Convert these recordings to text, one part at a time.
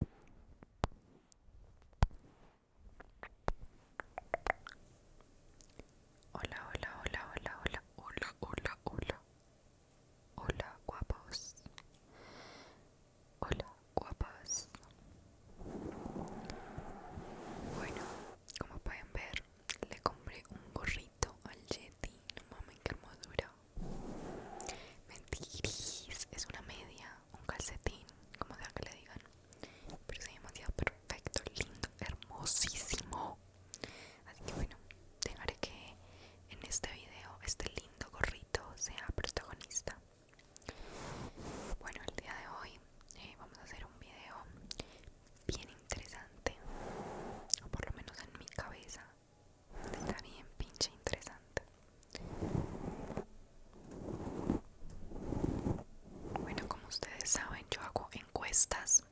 Hola, hola, hola, hola, hola, hola, hola, hola. Hola, guapos. Hola, guapos Bueno, como pueden ver, le compré un gorrito al Yeti. No mames, qué hermosura. Mentiris, es una media un calcetín, como sea que le digan. Pero se ve demasiado perfecto, lindo, hermosísimo. Así que bueno, dejaré que en este video este lindo gorrito sea protagonista. Bueno, el día de hoy eh, vamos a hacer un video bien interesante, o por lo menos en mi cabeza está bien pinche interesante. Bueno, como ustedes saben, yo hago encuestas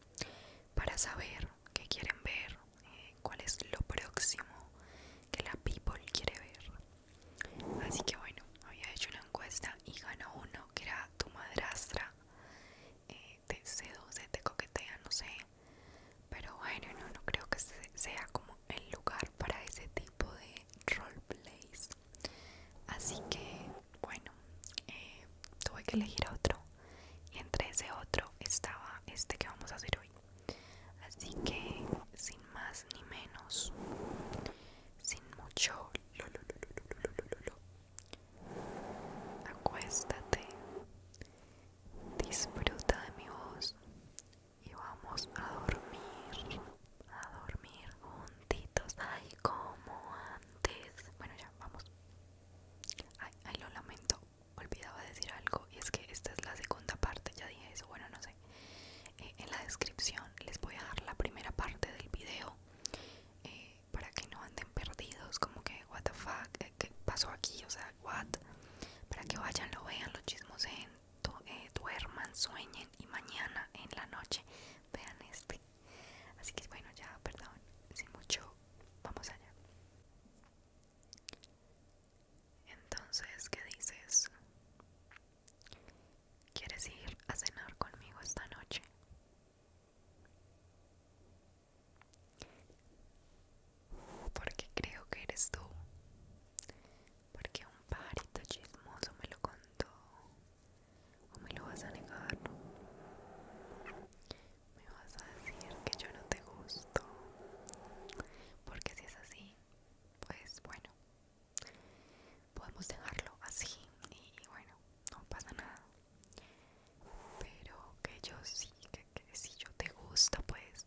para saber qué quieren ver, eh, cuál es lo próximo que la people quiere ver. Así que bueno, había hecho una encuesta y ganó uno que era tu madrastra. Eh, te seduce, te coquetea, no sé. Pero bueno, no, no creo que sea como el lugar para ese tipo de roleplays así que bueno tuve que elegir otro y entre ese otro estaba este que vamos a hacer hoy así que sin más ni menos sin mucho acuéstate disfruta de mi voz y vamos a dormir, a dormir juntitos, ay, como antes. Bueno, ya, vamos. Ay, ay, lo lamento, olvidaba decir algo y es que esta es la segunda parte, ya dije eso, bueno, no sé. Eh, en la descripción les voy a dar la primera parte del video eh, para que no anden perdidos, como que, what the fuck, eh, ¿qué pasó aquí? O sea, what? Para que vayan, lo vean, los chismos en eh, duerman, sueñen y mañana en la noche vean este. Así que bueno, ya, perdón, sin mucho, vamos allá. Entonces, ¿qué dices? ¿Quieres ir a cenar conmigo esta noche? Porque creo que eres tú porque un parito chismoso me lo contó. ¿O me lo vas a negar? Me vas a decir que yo no te gusto. Porque si es así, pues bueno, podemos dejarlo así y bueno, no pasa nada. Pero que yo sí, que, que si yo te gusto, pues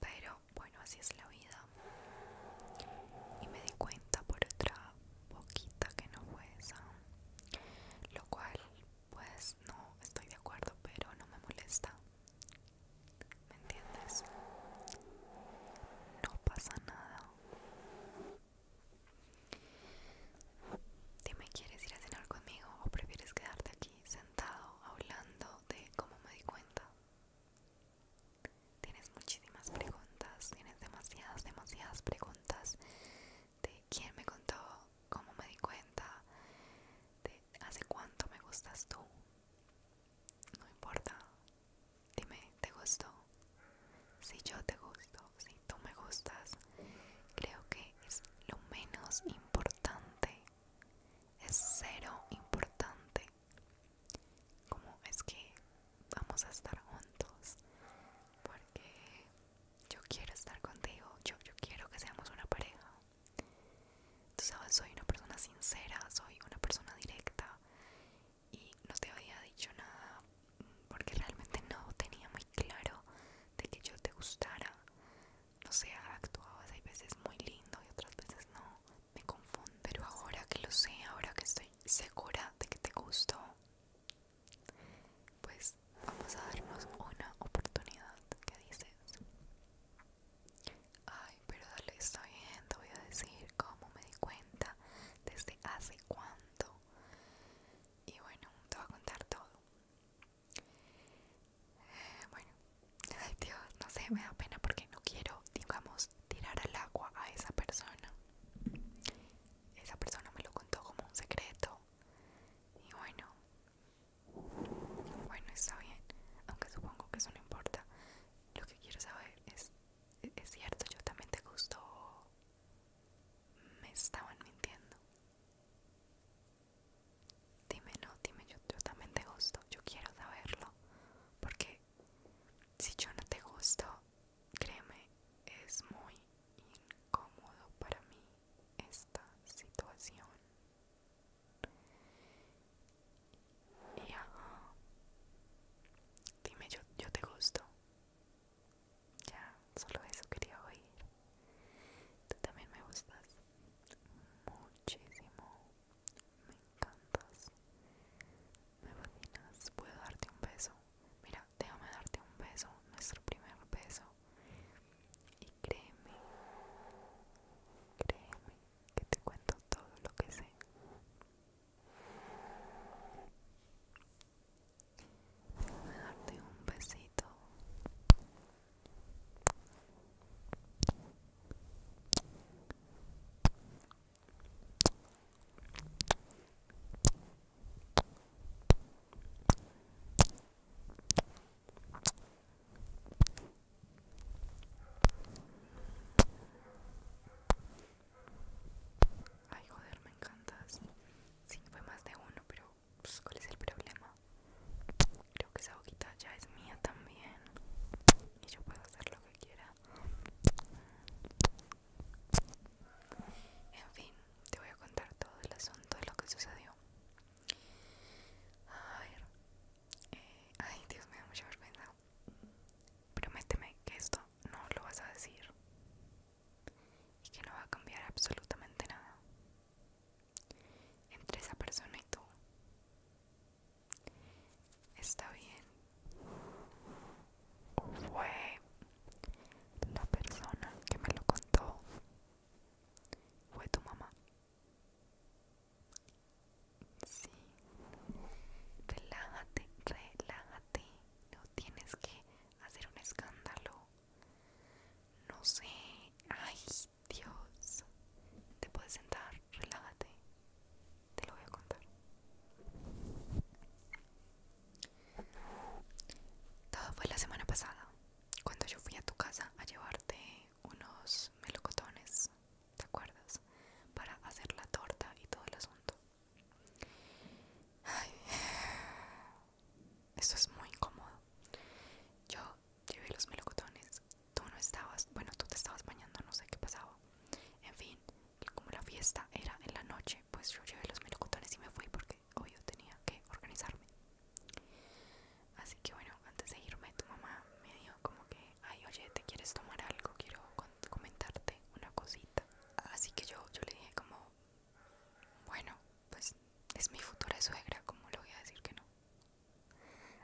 Pero bueno, así es la vida. Y me di cuenta por otra poquita que no fue esa. Lo cual, pues no estoy de acuerdo, pero no me molesta. ¿Me entiendes? No pasa nada. Dime, ¿quieres ir a cenar conmigo o prefieres quedarte aquí sentado hablando de cómo me di cuenta. Tienes muchísimas preguntas, tienes demasiadas, demasiadas preguntas de quién me contó, cómo me di cuenta, de hace cuánto me gustas tú. No importa, dime, ¿te gustó? Si yo te gusto, si tú me gustas, creo que es lo menos importante es cero importante como es que vamos a estar juntos porque yo quiero estar contigo yo, yo quiero que seamos una pareja tú sabes soy una persona sincera soy una persona directa y no te había dicho nada porque realmente no tenía muy claro de que yo te gustara no sé, actuabas hay veces muy lindo y otras veces no, me confundo, pero ahora que lo sé, ahora que estoy segura de que te gustó, pues vamos a darnos una oportunidad, ¿qué dices? Ay, pero dale, está bien, te voy a decir cómo me di cuenta, desde hace cuánto, y bueno, te voy a contar todo. Eh, bueno, Ay Dios, no sé, me da pena porque no quiero, digamos, tirar al agua a esa persona. Esa persona me lo contó como un secreto. Y bueno, bueno, está bien. Aunque supongo que eso no importa. Lo que quiero saber es, e-, es cierto, yo también te gustó. Me estaban mintiendo. Dime, no, dime, yo, yo también te gusto, yo quiero saberlo, porque si yo no te gusto, créeme, es muy incómodo para mí esta situación. Ya, dime, yo, yo te gusto. Ya, solo eso quería oír. Tú también me gustas muchísimo. Me encantas. Me fascinas. ¿Puedo darte un beso? Mira, déjame darte un beso. Nuestro primer beso. Y créeme. Créeme que te cuento todo lo que sé. Déjame darte un besito. Ay, joder, me encantas. Sí, fue más de uno, pero pues, ¿cuál es el problema? Creo que esa boquita ya es mía también. Y yo puedo hacer lo que quiera. En fin, te voy a contar todo el asunto de lo que sucedió. A ver. Eh, ay, Dios, me da mucha vergüenza. Prométeme que esto no lo vas a decir. Y que no va a cambiar absolutamente nada. Entre esa persona y tú. Está bien. fue la persona que me lo contó? ¿Fue tu mamá? Sí. Relájate, relájate. No tienes que hacer un escándalo. No sé. Ay, Dios, Te puedes sentar, relájate. Te lo voy a contar. Todo fue la semana pasada, cuando yo fui a tu casa a llevarte unos melocotones, ¿te acuerdas? Para hacer la torta y todo el asunto. Ay, esto es muy incómodo. Yo llevé los melocotones tú no estabas, bueno, tú te estabas bañando, no sé qué pasaba. En fin, como la fiesta era en la noche, pues yo llevé los melocotones y me fui porque hoy yo tenía que organizarme. Así que bueno, antes de irme, tu mamá me dijo como que, ay, oye, ¿te quieres tomar algo? Quiero comentarte una cosita. Así que yo, yo le dije como, bueno, pues es mi futura suegra, como le voy a decir que no?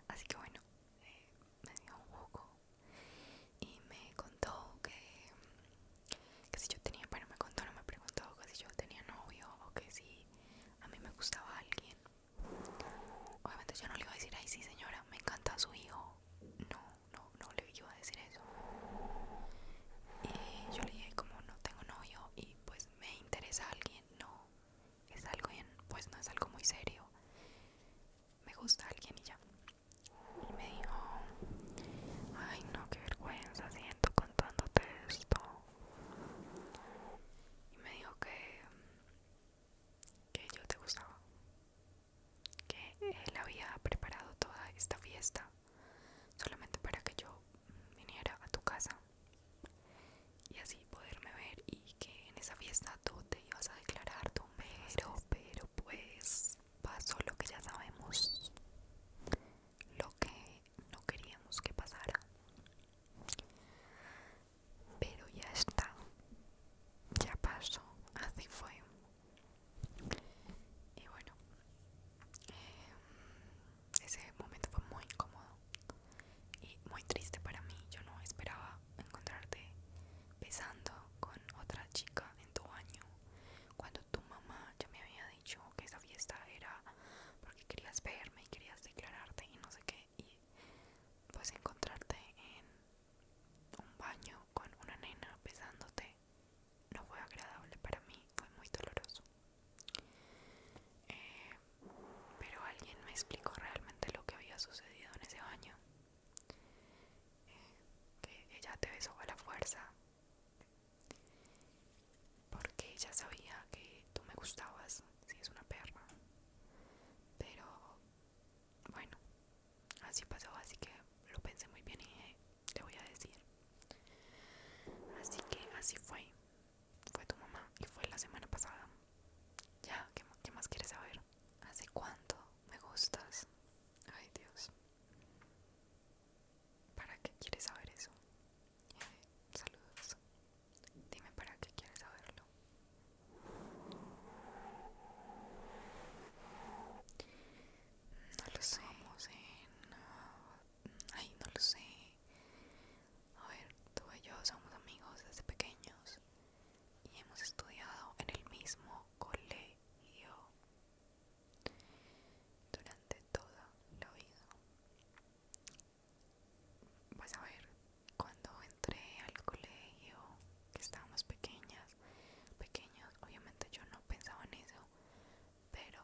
Así que bueno, eh, me dio un poco y me contó que, que si yo tenía, bueno, me contó, no me preguntó que si yo tenía novio o que si a mí me gustaba alguien. Obviamente yo no le iba a decir, ay sí señora, me encanta su hijo. No, no, no le iba a decir eso. Y yo le dije, como no tengo novio y pues me interesa alguien, no es algo, bien, pues no es algo muy serio. Me gusta alguien y ya. Y me dijo, ay no, qué vergüenza siento contándote esto. Y me dijo que, que yo te gustaba. Que él había preparado toda esta fiesta solamente para que yo viniera a tu casa y así poderme ver y que en esa fiesta tú te ibas a declarar Tu pero pero pues pasó lo que ya sabemos lo que no queríamos que pasara pero ya está ya pasó así fue y bueno eh, ese momento fue muy incómodo y muy triste para mí. Yo no esperaba encontrarte besando con otra chica en tu baño cuando tu mamá ya me había dicho que esa fiesta era porque querías verme y querías declararte y no sé qué. Y pues encontrarte en un baño con una nena besándote no fue agradable para mí, fue muy doloroso. Eh, pero alguien me explicó realmente lo que había sucedido en ese año eh, que ella te besó a la fuerza porque ella sabía que tú me gustabas, si es una perra. Pero bueno, así pasó, así que lo pensé muy bien y te voy a decir. Así que así fue fue tu mamá y fue la semana pasada. Ya, ¿qué, más quieres saber? ¿Hace cuánto me gustas? Ay Dios. ¿Para qué quieres saber eso? Eh, saludos. Dime para qué quieres saberlo. No lo sé. Ah, ay, no lo sé. A ver, tú y yo somos amigos desde pequeños y hemos estudiado en el mismo colegio durante toda la vida. Vas a ver, cuando entré al colegio, que estábamos pequeñas, Pequeñas, obviamente yo no pensaba en eso, pero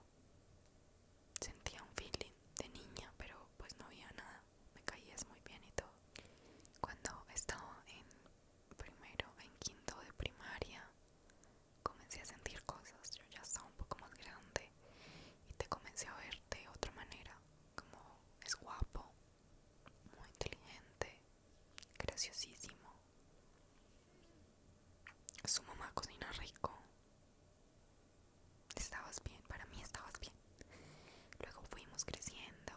sentía un feeling de niña, pero pues no había nada me caías muy bien y todo. Cuando estaba en primero, en quinto de primaria, comencé a sentir cosas. Yo ya estaba un poco más grande y te comencé a ver de otra manera. Como es guapo, muy inteligente, graciosísimo. Su mamá cocina rico estabas bien, para mí estabas bien. Luego fuimos creciendo.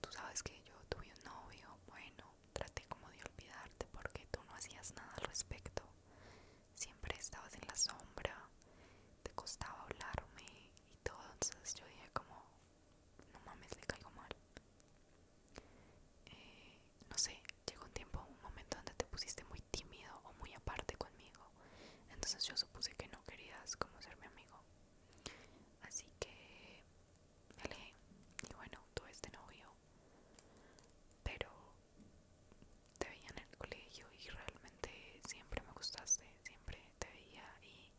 Tú sabes que yo tuve un novio, bueno, traté como de olvidarte porque tú no hacías nada al respecto. Siempre estabas en la sombra, te costaba hablarme y todo. Entonces yo dije como, no mames, le caigo mal. Eh, no sé, llegó un tiempo, un momento donde te pusiste muy tímido o muy aparte conmigo. Entonces yo supuse que no querías como mi amigo. Así que me alejé. Y bueno, tuve este novio. Pero te veía en el colegio y realmente siempre me gustaste. Siempre te veía y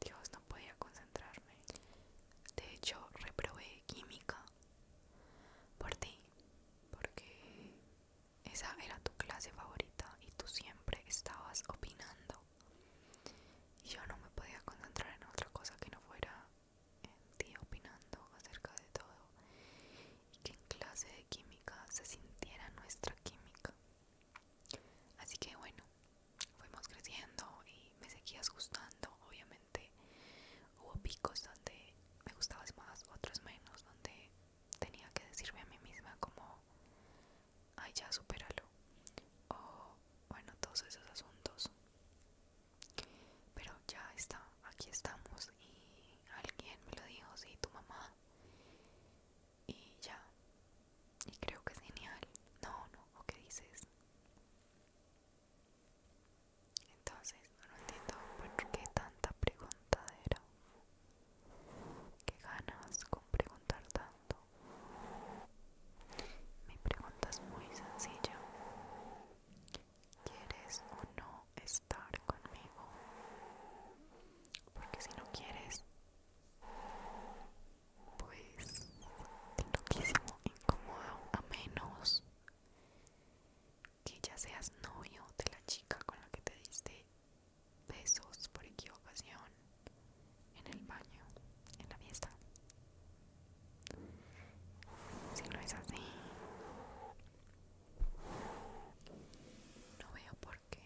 Dios no podía concentrarme. De hecho, reprobé química por ti. Porque esa era tu clase favorita y tú siempre estabas opinando. Y yo no me podía concentrar en otra cosa que no fuera en ti opinando acerca de todo. Y que en clase de química se sintiera nuestra química. Así que bueno, fuimos creciendo y me seguías gustando. Obviamente hubo picos donde me gustabas más, otros menos, donde tenía que decirme a mí misma como, ay ya, superalo O bueno, todos esos asuntos. Pero ya está, aquí estamos y alguien me lo dijo, sí, tu mamá. Y ya. Y creo que es genial. No, no, ¿o qué dices? Entonces, no entiendo por qué tanta preguntadera. ¿Qué ganas con preguntar tanto? Mi pregunta es muy sencilla. ¿Quieres o no estar conmigo? Porque si no quieres, pues lo quísimo incómodo, a menos que ya seas novio de la chica con la que te diste besos por equivocación en el baño, en la fiesta. Si no es así, no veo por qué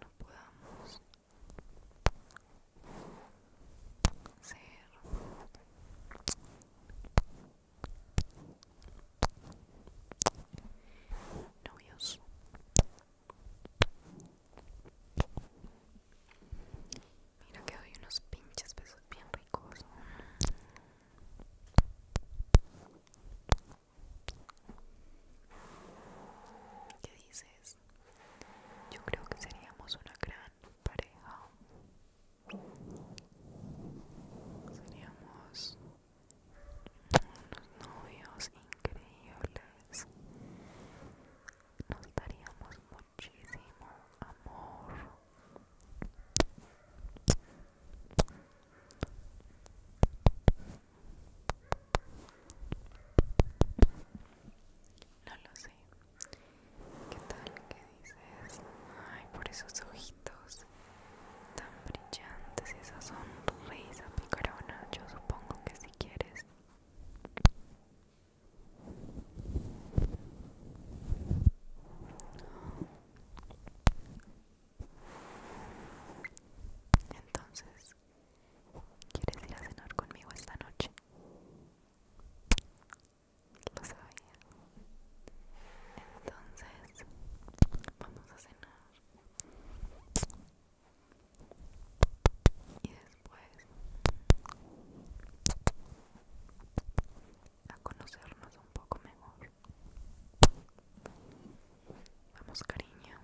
no podamos ser novios mira que doy unos pinches besos bien ricos ¿Qué dices? Yo creo que seríamos una gran pareja. Seríamos unos novios increíbles. Nos daríamos muchísimo amor. No lo sé. ¿Qué tal que ay, por esos ojitos tan brillantes y esa sonrisa picarona, yo supongo que si quieres. Entonces, ¿quieres ir a cenar conmigo esta noche? lo sabía entonces vamos a cenar y después a conocernos un poco mejor vamos cariño